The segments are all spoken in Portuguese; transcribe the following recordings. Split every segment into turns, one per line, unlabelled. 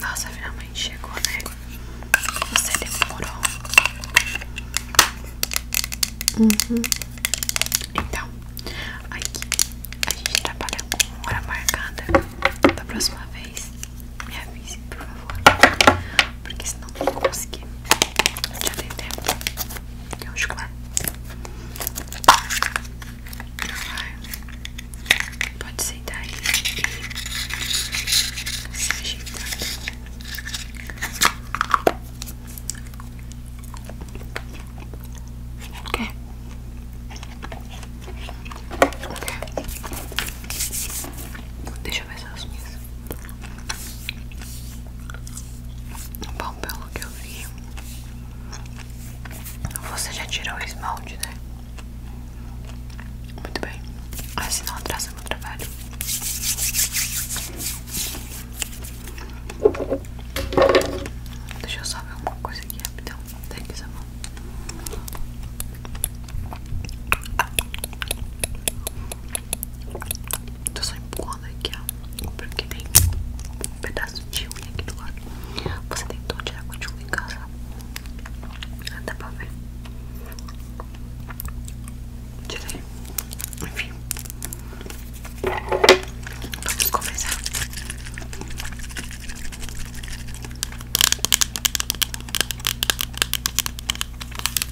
Nossa, finalmente chegou, né? Você demorou. Uhum. Então, aqui a gente trabalha tá com hora marcada da próxima vez. Me avise, por favor. Porque senão eu não vou conseguir. Já tem tempo. Tem um chocolate. Pode sentar aí e se ajeitar. O que? Deixa eu ver essas minhas. Bom, pelo que eu vi, você já tirou o esmalte, né? Muito bem. Assim ah, não atrasa meu trabalho. Deixa eu só ver uma coisa aqui rapidão. Tem que saber Tô só empurrando aqui, ó. Porque tem um pedaço de unha aqui do lado. Você tentou tirar com de unha em casa? Ah, dá pra ver. Tirei. Enfim. Vamos começar.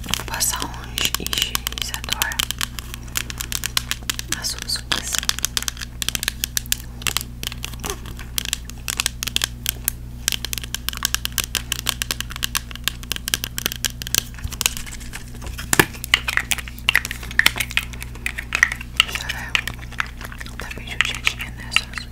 Vou passar um higienizador na sua superfície. Deixa eu ver. Tá bem judiadinha nessa né?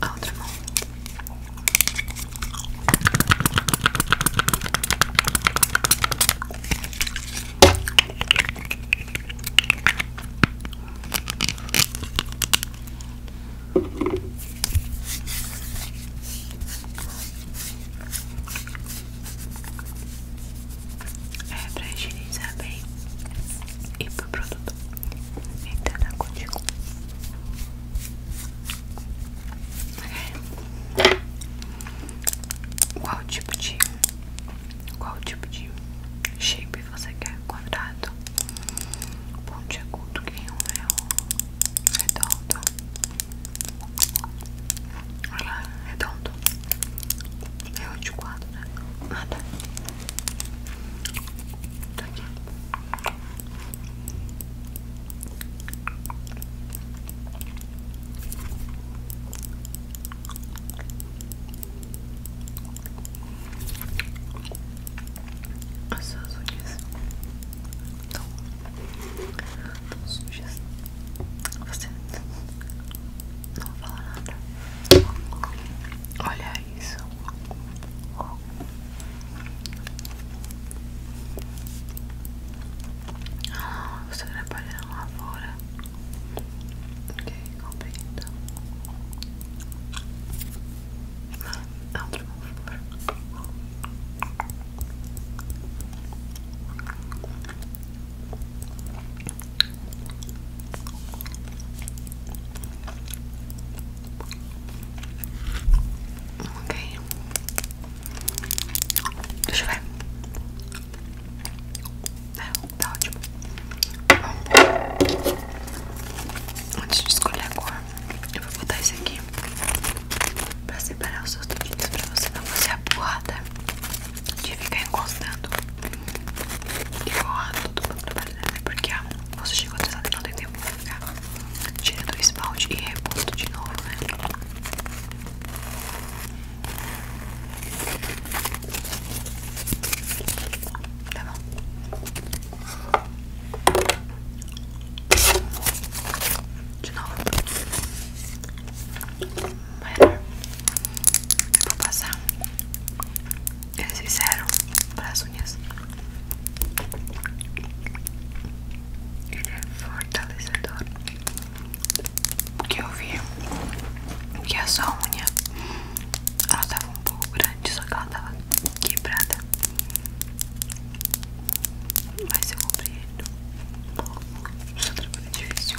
A outra É pra higienizar bem e pro produto entrar contigo. Qual tipo de qual tipo de shape você quer? Quadrado, pontiagudo, que nem o meu, redondo. Olha lá, redondo. É o de quadro, né? Nada. Ah, tá. Tá aqui. As suas unhas estão sujas. Você tá não fala nada. Olha falar isso. Ah, você trabalha na lavoura. Ok, compreendo. Abra, ah, por favor. Ok. Deixa eu ver. Não, tá, tá ótimo. antes de escolher a cor, eu vou botar esse aqui pra separar os seus dedinhos pra você não fazer a porrada de ficar encostando e borrar tudo pra rápida, né? Porque ah, você chegou atrasada e não tem tempo pra ficar tirando esmalte e repondo de novo, né? Tá bom. De novo. Melhor. vou passar eles fizeram para as unhas. Ele é fortalecedor. Porque eu vi que é a sua unha ela tava um pouco grande, só que ela estava quebrada. Mas eu compreendo. Isso é difícil.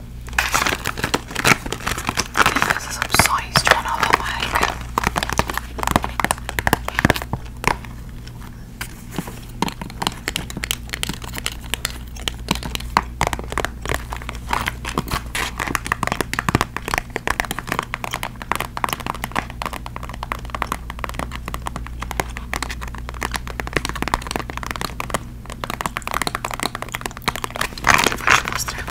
This is um, size one of a mag. Eu vou te mostrar.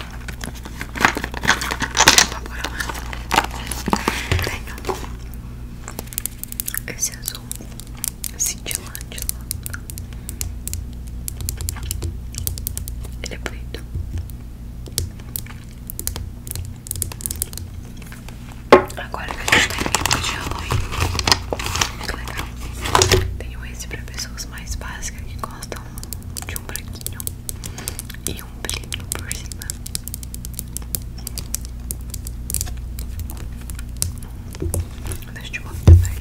Tenho esse azul cintilante lá. Ele é bonito. Agora que a gente tá em época de Halloween. Que legal. Tenho esse pra pessoas mais básicas que gostam de um branquinho e um brilho por cima. Deixa eu te mostrar também.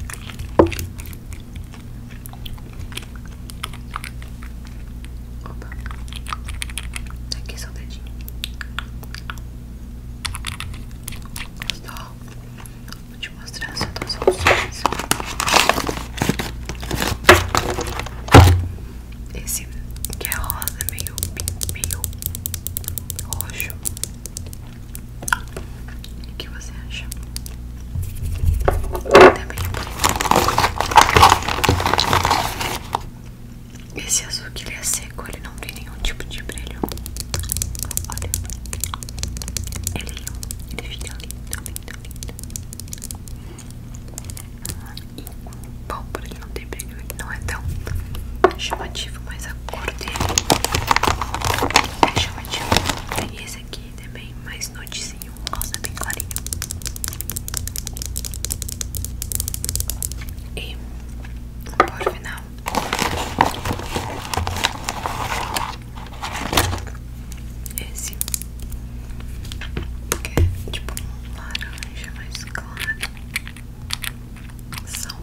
Opa, tá aqui só o dedinho. Gostou? Vou te mostrar as outras opções. Esse que é rosa, meio, meio roxo. O que você acha? Também tá esse azul que ele é seco, ele não tem nenhum tipo de brilho. Olha, é ele fica é lindo, lindo, lindo. Ah, e, bom, por ele não tem brilho, ele não é tão chamativo, mas a cor dele é chamativa. E esse aqui também, mais notezinho, rosa bem clarinho. E agora final, esse que é, tipo laranja mais claro, salmão.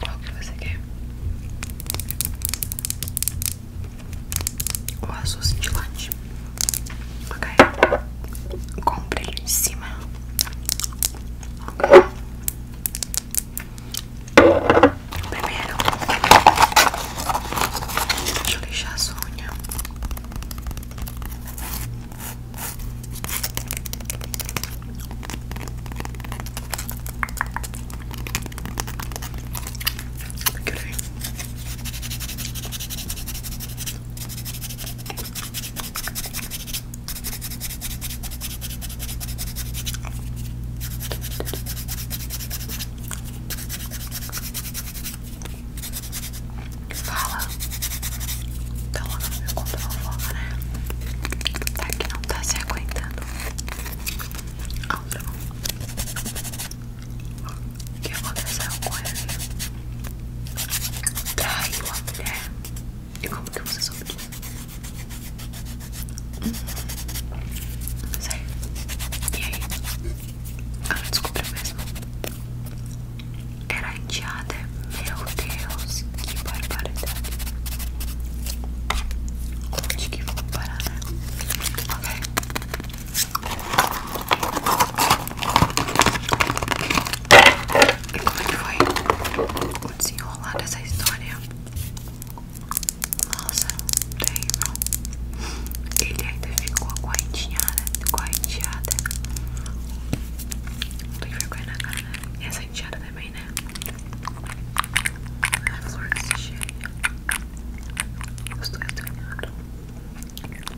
Qual que você quer? O azul cintilante. Ok. Compre ele em cima. Ok. Primeiro, deixa eu lixar a sua unha. Fala, tá logo então, no meu conto fofoca, né? Tá que não tá se aguentando. Outra que aconteceu com ele? Traiu tá a mulher. E como que você soube disso? não hum, sei. E aí? Ela descobriu mesmo. Era enteada. Meu Deus, que barbaridade. Onde que vou parar, né? Ok. E como é que foi o desenrolar dessa história? Nossa, terrível. Ele ainda ficou correnteada, correnteada. Não tem vergonha na cara, né? E essa enteada também, né? A flor desse cheiro. Os dois estão errados.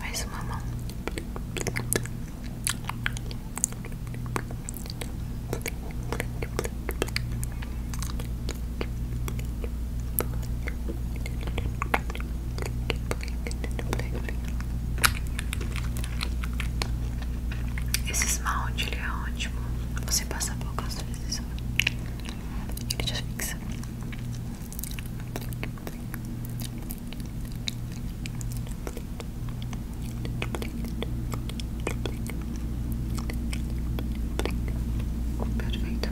Mais uma mão. Esse esmalte ele é ótimo. Você passa poucas vezes. Ele já fixa. Perfeito.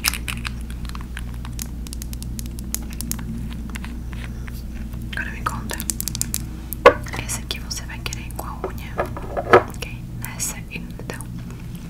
Agora me conta. Esse aqui você vai querer com a unha, ok? Nessa então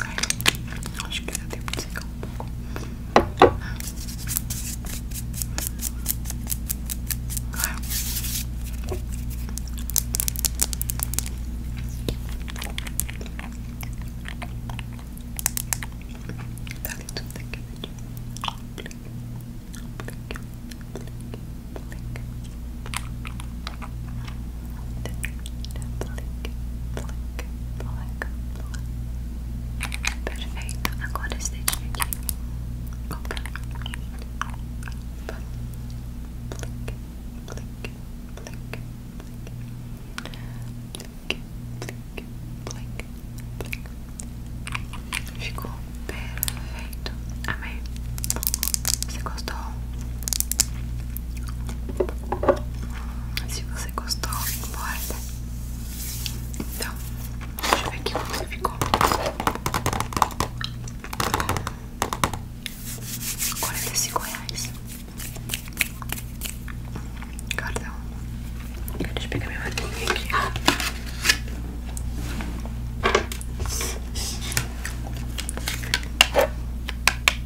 Ok, acho que dá tempo de secar um pouco. Tá dentro daqui, daqui. Perfeito, agora esse dedinho aqui. Opa. Opa. Blink, blink, blink, blink. Blink, blink, blink, blink. Ficou perfeito. Amei. Você gostou? Se você gostou, embora Então, deixa eu ver aqui como você ficou. 45 reais. Cartão. Deixa eu pegar minha maquininha aqui.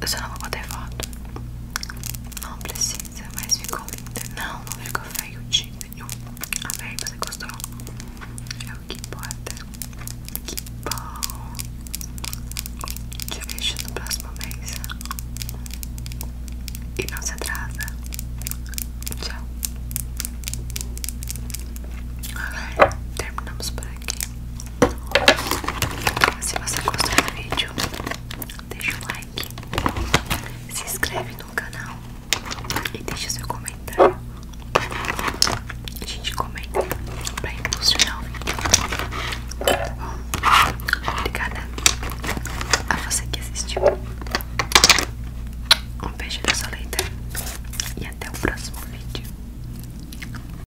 Eu só não vou bater foto. Não precisa, mas ficou linda. Não, não ficou feio de nenhum. Amei, você gostou? É o que importa. Que bom. Te vejo no próximo mês. E não se atrasa. Tchau. Ok, terminamos por aí aqui. Se você gostou do vídeo, deixa um like, se inscreve no canal e deixe seu comentário. A gente comenta pra impulsionar o vídeo. Tá bom? Obrigada a você que assistiu. Um beijo da sua leita e até o próximo vídeo.